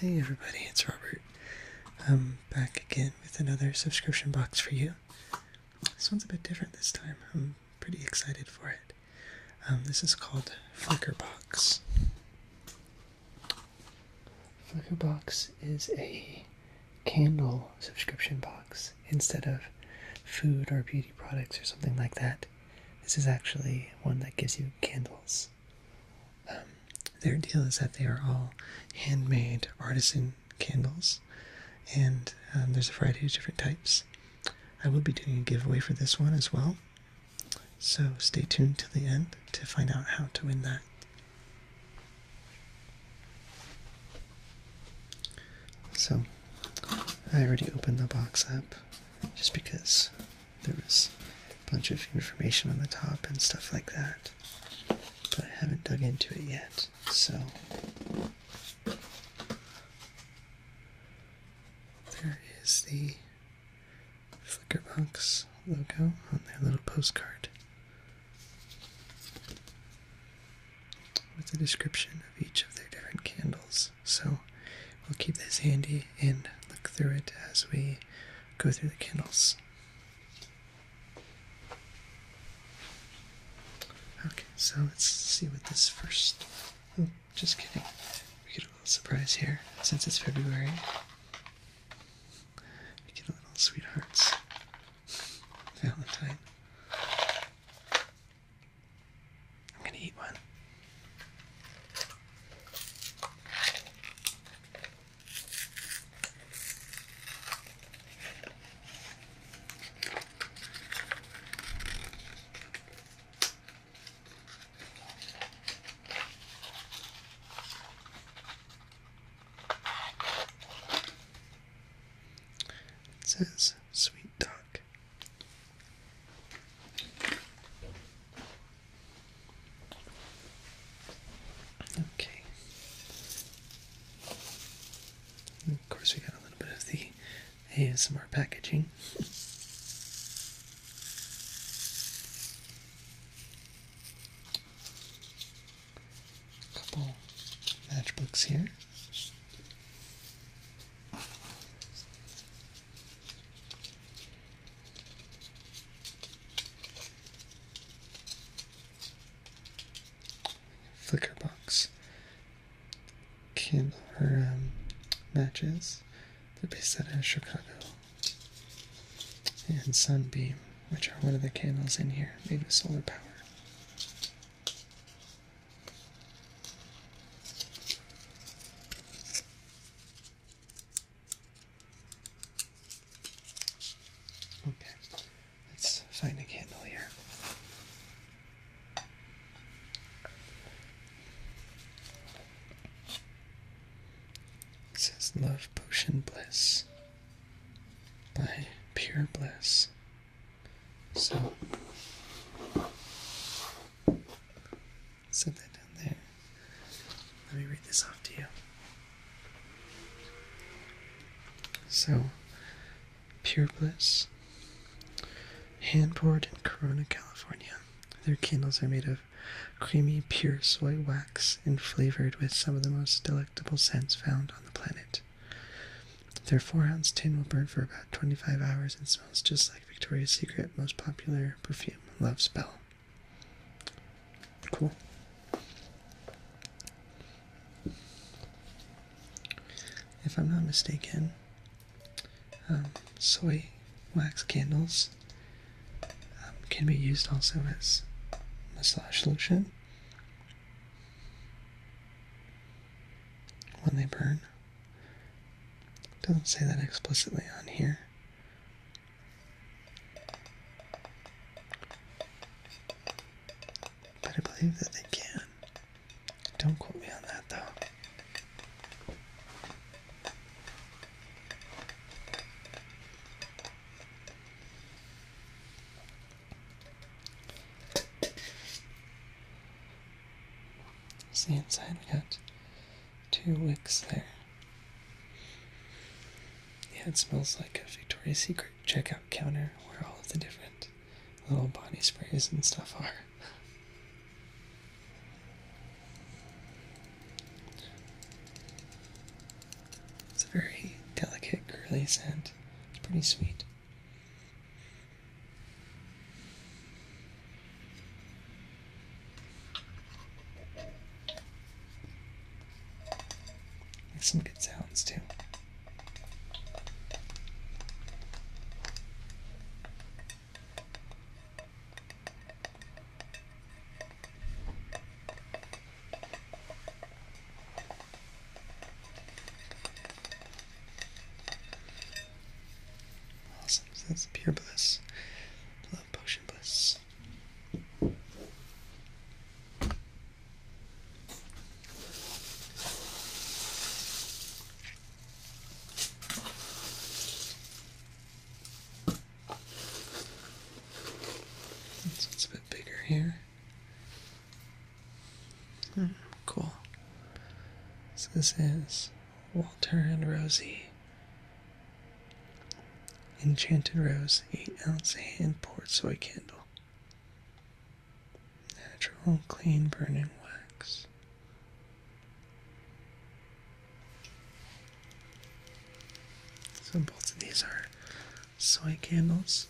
Hey everybody, it's Robert. I'm back again with another subscription box for you. This one's a bit different this time. I'm pretty excited for it. Um, this is called Flicker Box. Flicker Box is a candle subscription box instead of food or beauty products or something like that. This is actually one that gives you candles. Um, their deal is that they are all handmade artisan candles, and um, there's a variety of different types. I will be doing a giveaway for this one as well, so stay tuned till the end to find out how to win that. So, I already opened the box up just because there was a bunch of information on the top and stuff like that. But I haven't dug into it yet, so there is the Flickerbox logo on their little postcard with a description of each of their different candles. So we'll keep this handy and look through it as we go through the candles. Okay, so let's see what this first. Oh, just kidding. We get a little surprise here since it's February. We get a little sweethearts. Valentine. I'm gonna eat one. It says sweet duck Okay. of course, we got a little bit of the ASMR packaging. couple matchbooks here. Flickerbox came her um, matches. They're based out of Chicago. And Sunbeam, which are one of the candles in here, made with solar power. Okay, let's find a candle here. It says Love Potion Bliss by Pure Bliss. So Set that down there. Let me read this off to you. So, Pure Bliss, hand poured in Corona, California. Their candles are made of creamy, pure soy wax and flavored with some of the most delectable scents found on the planet. Their four ounce tin will burn for about 25 hours and smells just like. Victoria's Secret most popular perfume, Love Spell. Cool. If I'm not mistaken, um, soy wax candles um, can be used also as massage solution when they burn. Doesn't say that explicitly on here. But I believe that they can. Don't quote me on that though. See inside. We got two wicks there. Yeah, it smells like a Victoria's Secret checkout counter where all of the different little body sprays and stuff are. It's a very delicate, girly scent. It's pretty sweet some good sounds too. Awesome. that's pure bliss. Love potion bliss. This a bit bigger here. Hmm, cool. So this is Walter and Rosie. Enchanted Rose, 8 ounce hand poured soy candle. Natural clean burning wax. So both of these are soy candles.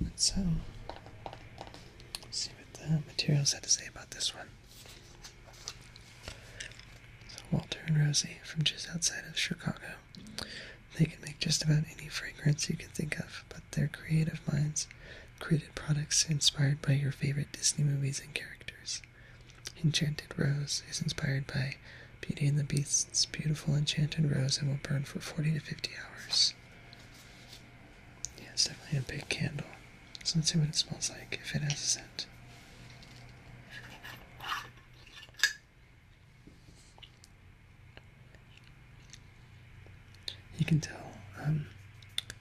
Let's see what the materials had to say about this one. Walter and Rosie from just outside of Chicago. They can make just about any fragrance you can think of, but their creative minds created products inspired by your favorite Disney movies and characters. Enchanted Rose is inspired by Beauty and the Beast's beautiful enchanted rose and will burn for 40 to 50 hours. Yeah, it's definitely a big candle. So let's see what it smells like, if it has a scent. You can tell um,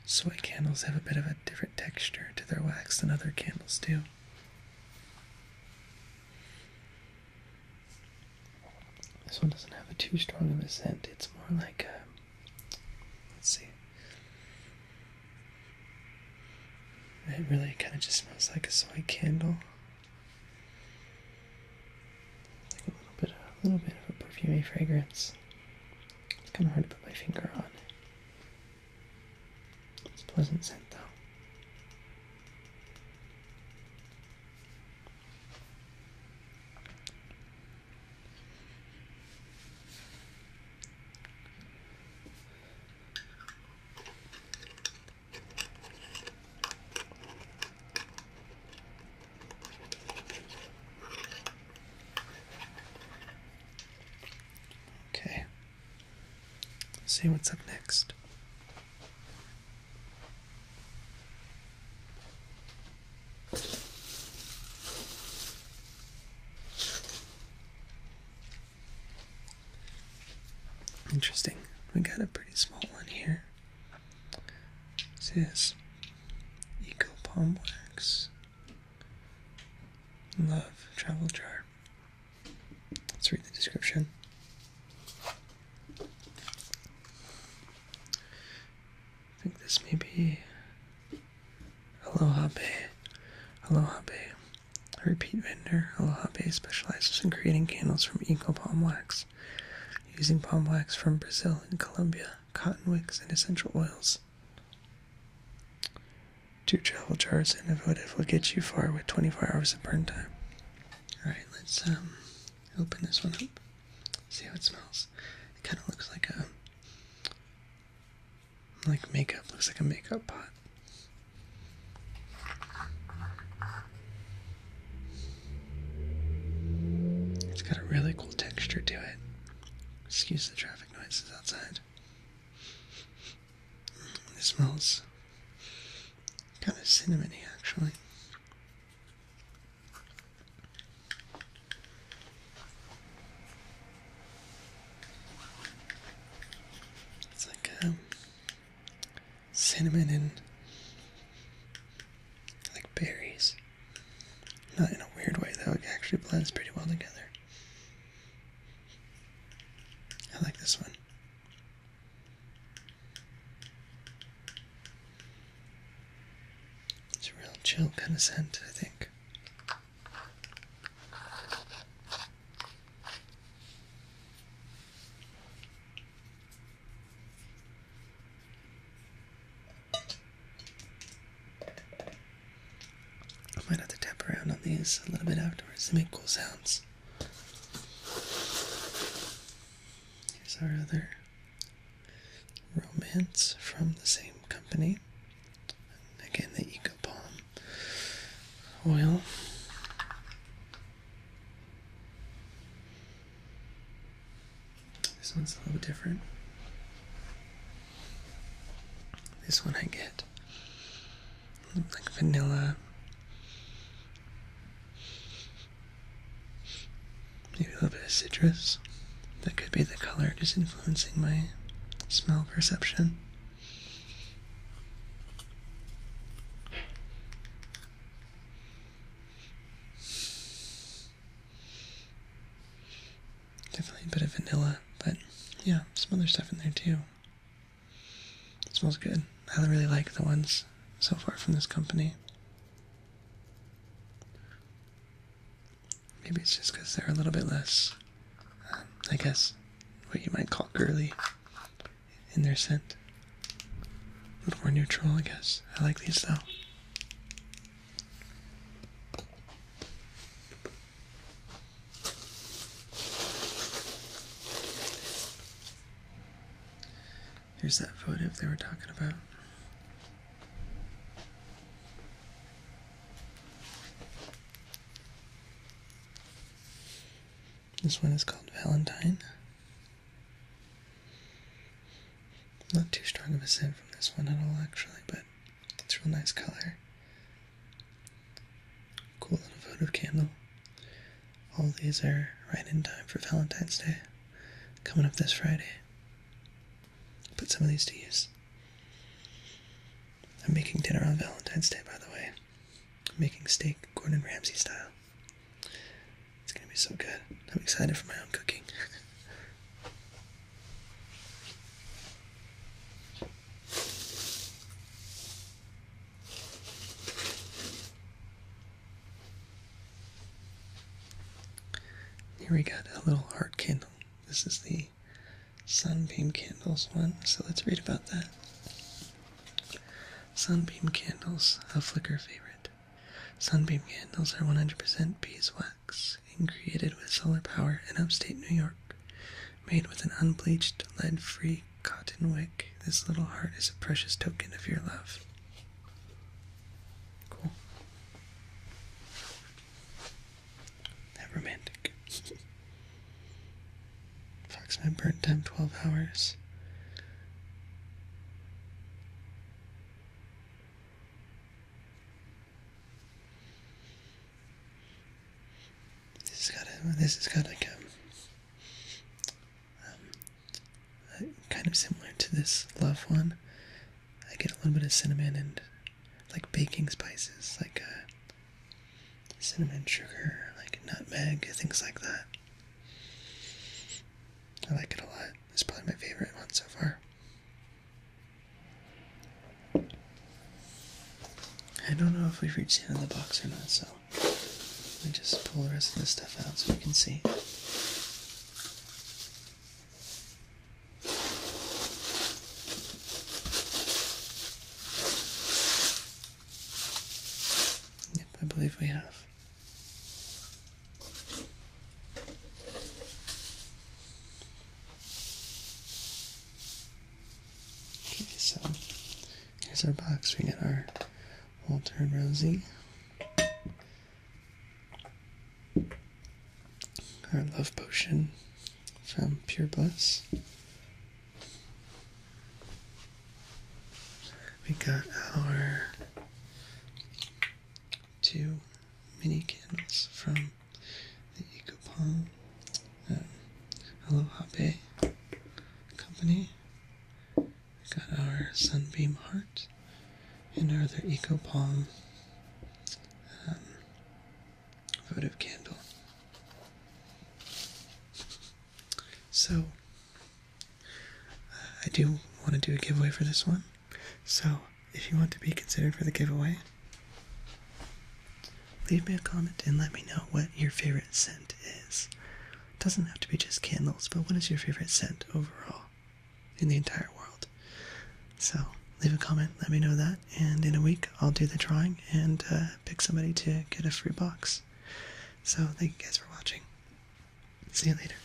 Soy candles have a bit of a different texture to their wax than other candles do. This one doesn't have a too strong of a scent. It's more like a, let's see. It really kind of just smells like a soy candle. Like a little bit, of, a little bit of a perfumey fragrance. It's kind of hard to put my finger on. It's pleasant scent, though. Okay. Let's see what's up next. Interesting. We got a pretty small one here. What's this? Eco palm wax. Love travel jar. Let's read the description. I think this may be Aloha Bay. Aloha Bay. A repeat vendor, Aloha Bay specializes in creating candles from eco palm wax, using palm wax from Brazil and Colombia, cotton wicks, and essential oils. Two travel jars and avoidif will get you far with 24 hours of burn time. Alright, let's um, open this one up. See how it smells. It kind of looks like a. Like makeup. Looks like a makeup pot. It's got a really cool texture to it. Excuse the traffic noises outside. Mm, it smells kind of cinnamony, actually. It's like um, cinnamon and like berries. Not in a weird way, though. It actually blends pretty well together. I like this one. It's a real chill kind of scent, I think. I might have to tap around on these a little bit afterwards to make cool sounds. Here's our other romance from the same company. again, the Eco Palm oil. This one's a little different. This one I get like vanilla, maybe a little bit of citrus. That could be the color just influencing my smell perception. Definitely a bit of vanilla, but yeah, some other stuff in there too. smells good. I really like the ones so far from this company. Maybe it's just because they're a little bit less, um, I guess, what you might call girly in their scent. A little more neutral, I guess. I like these though. Here's that photo they were talking about. This one is called Valentine. Not too strong of a scent from this one at all, actually, but it's a real nice color. Cool little votive candle. All these are right in time for Valentine's Day, coming up this Friday. Put some of these to use. I'm making dinner on Valentine's Day, by the way. I'm making steak Gordon Ramsay style. It's gonna be so good. I'm excited for my own cooking. Here we got a little heart candle. This is the Sunbeam Candles one, so let's read about that. Sunbeam Candles, a flicker favorite. Sunbeam candles are 100% beeswax and created with solar power in upstate New York, made with an unbleached, lead free cotton wick. This little heart is a precious token of your love. Cool. That romantic. Approximate burn time 12 hours. This is got a, this has got like a, kind of similar to this love one. I get a little bit of cinnamon and like baking spices, like uh, cinnamon, sugar, like nutmeg, things like that. I like it a lot. It's probably my favorite one so far. I don't know if we've reached the end of the box or not, so let me just pull the rest of the stuff out so we can see. Yep, I believe we have. Okay, so here's our box. We got our Walter and Rosie, our love potion from Pure Bliss. We got our two mini candles from the Eco Palm Aloha um, Bay company. got our Sunbeam Heart and our other EcoPalm um, votive candle. So, uh, I do want to do a giveaway for this one. So, if you want to be considered for the giveaway, leave me a comment and let me know what your favorite scent is. It doesn't have to be just candles, but what is your favorite scent overall in the entire world? So, leave a comment, let me know that, and in a week I'll do the drawing and uh, pick somebody to get a free box. So, thank you guys for watching. See you later.